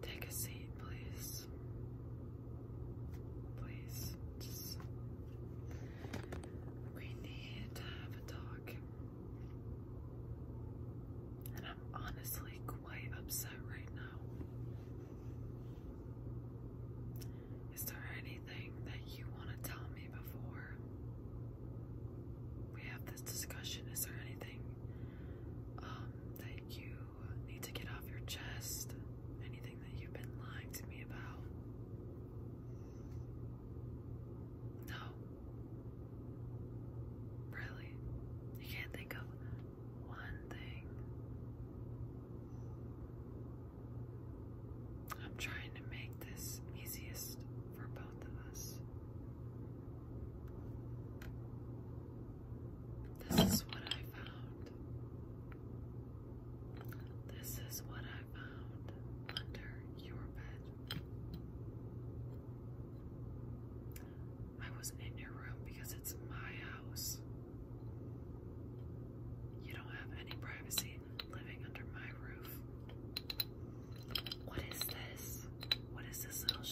Take a seat, please. Please. We need to have a talk. And I'm honestly quite upset right now. Is there anything that you want to tell me before we have this discussion? Is there anything um, that you need to get off your chest, anything that you've been lying to me about. No. Really? You can't think of one thing. I'm trying to make this easiest for both of us. This is what I found. This is what I found under your bed. I wasn't in your room because it's my house. You don't have any privacy living under my roof. What is this? What is this little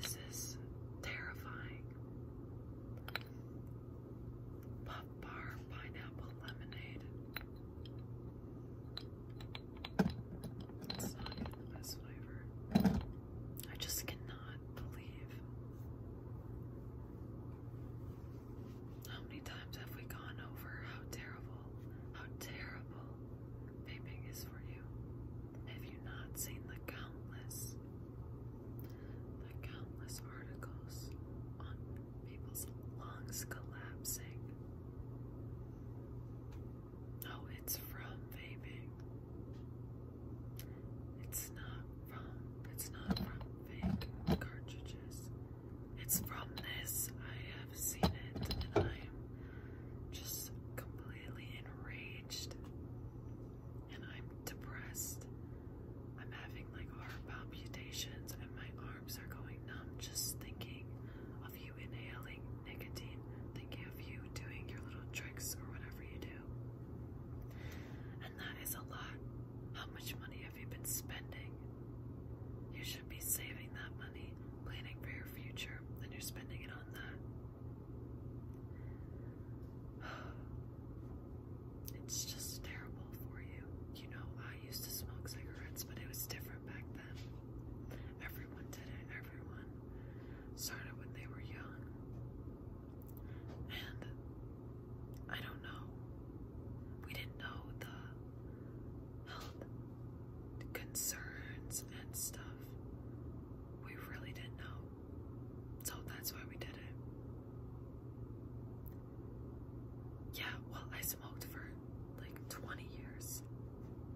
this is terrifying. Puff bar pineapple lemonade. It's not even the best flavor. I just cannot believe how many times have we gone over how terrible, how terrible vaping is for you? Have you not seen the countless, the countless articles on people's lungs collapsing? No, oh, it's from vaping. It's not from, it's not from vape cartridges. It's from this. I have seen it and I'm just completely enraged and I'm depressed. I'm having like heart palpitations and my arms are going numb just thinking of you inhaling nicotine, thinking of you doing your little tricks or whatever you do. And that is a lot. How much money have you been spending? should be saving that money, planning for your future, and you're spending it on that. It's just terrible for you. You know, I used to smoke cigarettes, but it was different back then. Everyone did it, everyone. Started when they were young. And I don't know. We didn't know the health concerns and stuff. We really didn't know. So that's why we did it. Yeah, well, I smoked for like 20 years,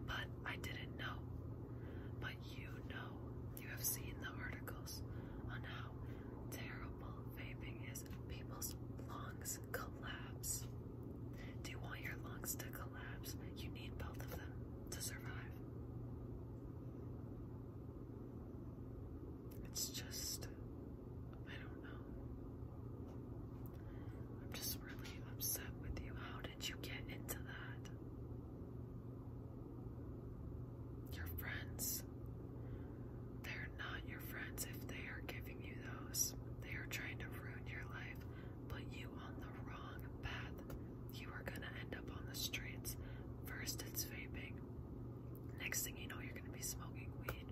but I didn't know. But you know, you have seen the articles on how terrible example, vaping is people's lungs collapse. Do you want your lungs to collapse? You need both of them to survive. It's just, I don't know. I'm just really upset with you. How did you get into that? Your friends they're not your friends if they are giving you those. They are trying to ruin your life, put you on the wrong path. You are going to end up on the streets. First, it's vaping. Next thing you know, you're going to be smoking weed.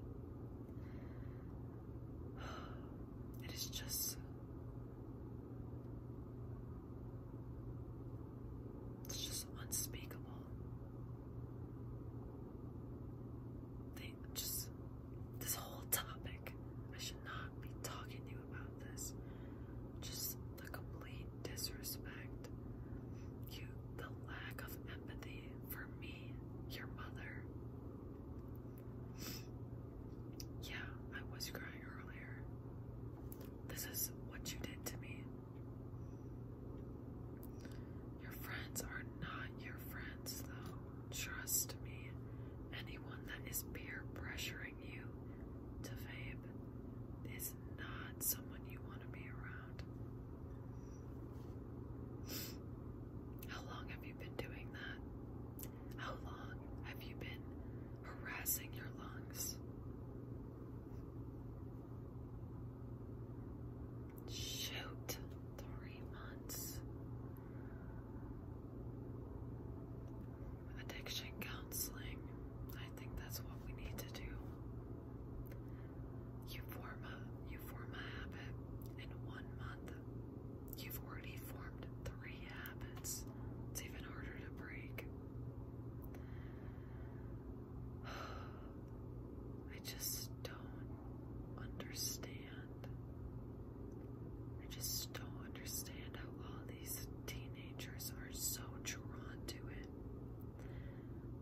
It is just. It's just unspeakable thing. Just this whole topic. I should not be talking to you about this. Just the complete disrespect. You, the lack of empathy for me, your mother. Yeah, I was crying earlier. This is what you did to me. Your friends are not your friends, though. Trust me. Anyone that is peer pressuring you to vape is not someone you want to be around. How long have you been doing that? How long have you been harassing your lungs? Shoot, three months. Addiction counseling. I think that's what we need to do. You form a you form a habit in one month. You've already formed three habits. It's even harder to break. I just don't understand. I just don't understand how all these teenagers are so drawn to it.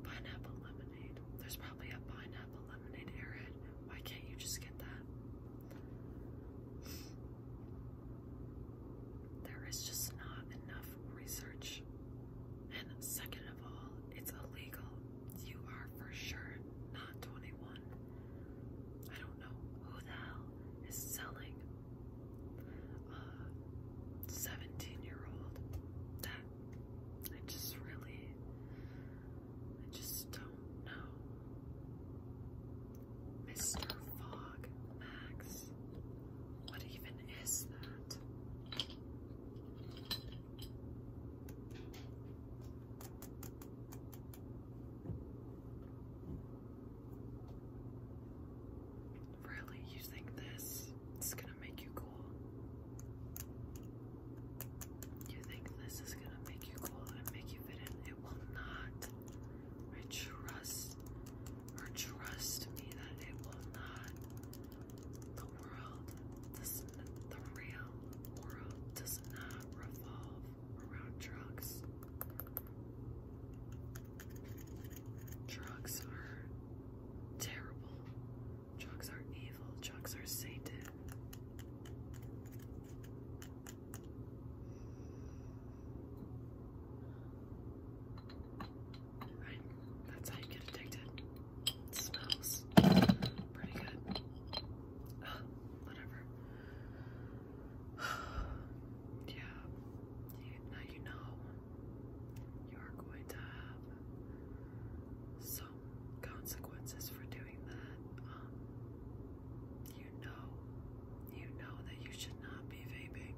Pineapple lemonade. There's probably a pineapple lemonade airhead. Why can't you just get that? There is just not enough research. And second of all, it's illegal. You are for sure not 21. I don't know who the hell is selling a 17 year old. That, I just really, I just don't know. Mr. Fog, Max. What even is that? Really, you think this is gonna make you cool? You think this is gonna make you cool and make you fit in? It will not. trust or trust me that it will not. The world, does the real world, does not revolve around drugs. Drugs are terrible. Drugs are evil. Drugs are Satan. Right? That's how you get addicted. It smells pretty good. Uh, whatever. yeah. now you know you're going to have some consequences for doing that. Um, you know, you know that you should not be vaping.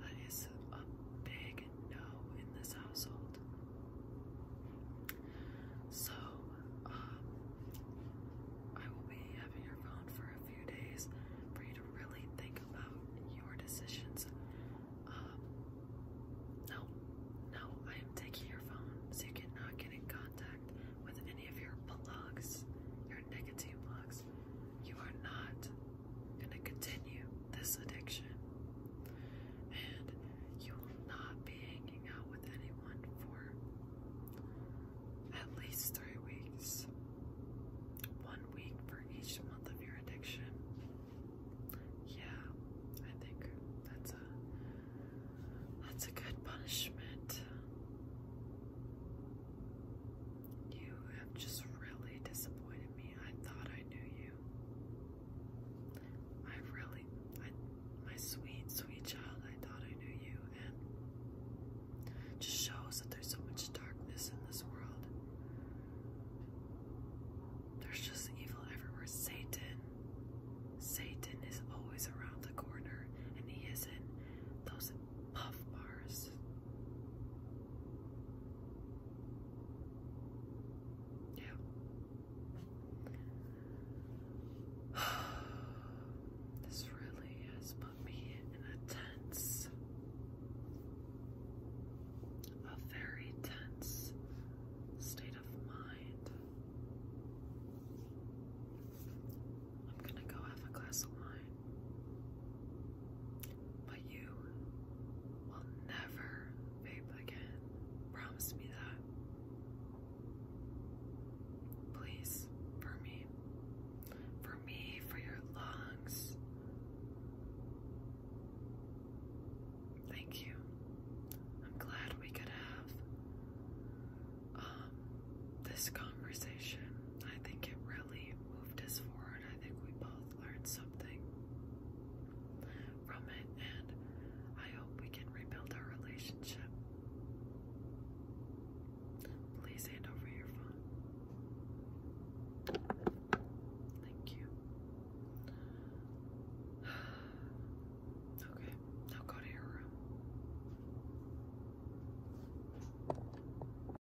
That is a big no in this household. So, um, I will be having your phone for a few days for you to really think about your decisions. Um, no, no, I am taking your phone so you cannot get in contact with any of your blocks, your nicotine blocks you are not going to continue this addiction. And you will not be hanging out with anyone for at least three weeks. One week for each month of your addiction. Yeah, I think that's a that's a good punishment. You have just really disappointed me. I thought I knew you. I really, I, my sweet, sweet child, I thought I knew you. And it just shows that there's so much darkness in this world. There's just evil everywhere. Satan, Satan is always around the corner, and he is in those puff bars. Yeah. This really has put me in a tense, a very tense state of mind. I'm gonna go have a glass of wine. But you will never vape again. Promise me that. Please, for me. For me, for your lungs. Thank you. I'm glad we could have um, this conversation. I think it really Riley moved us forward. I think we both learned something from it, and I hope we can rebuild our relationship. Please hand over your phone. Thank you. Okay, now go to your room.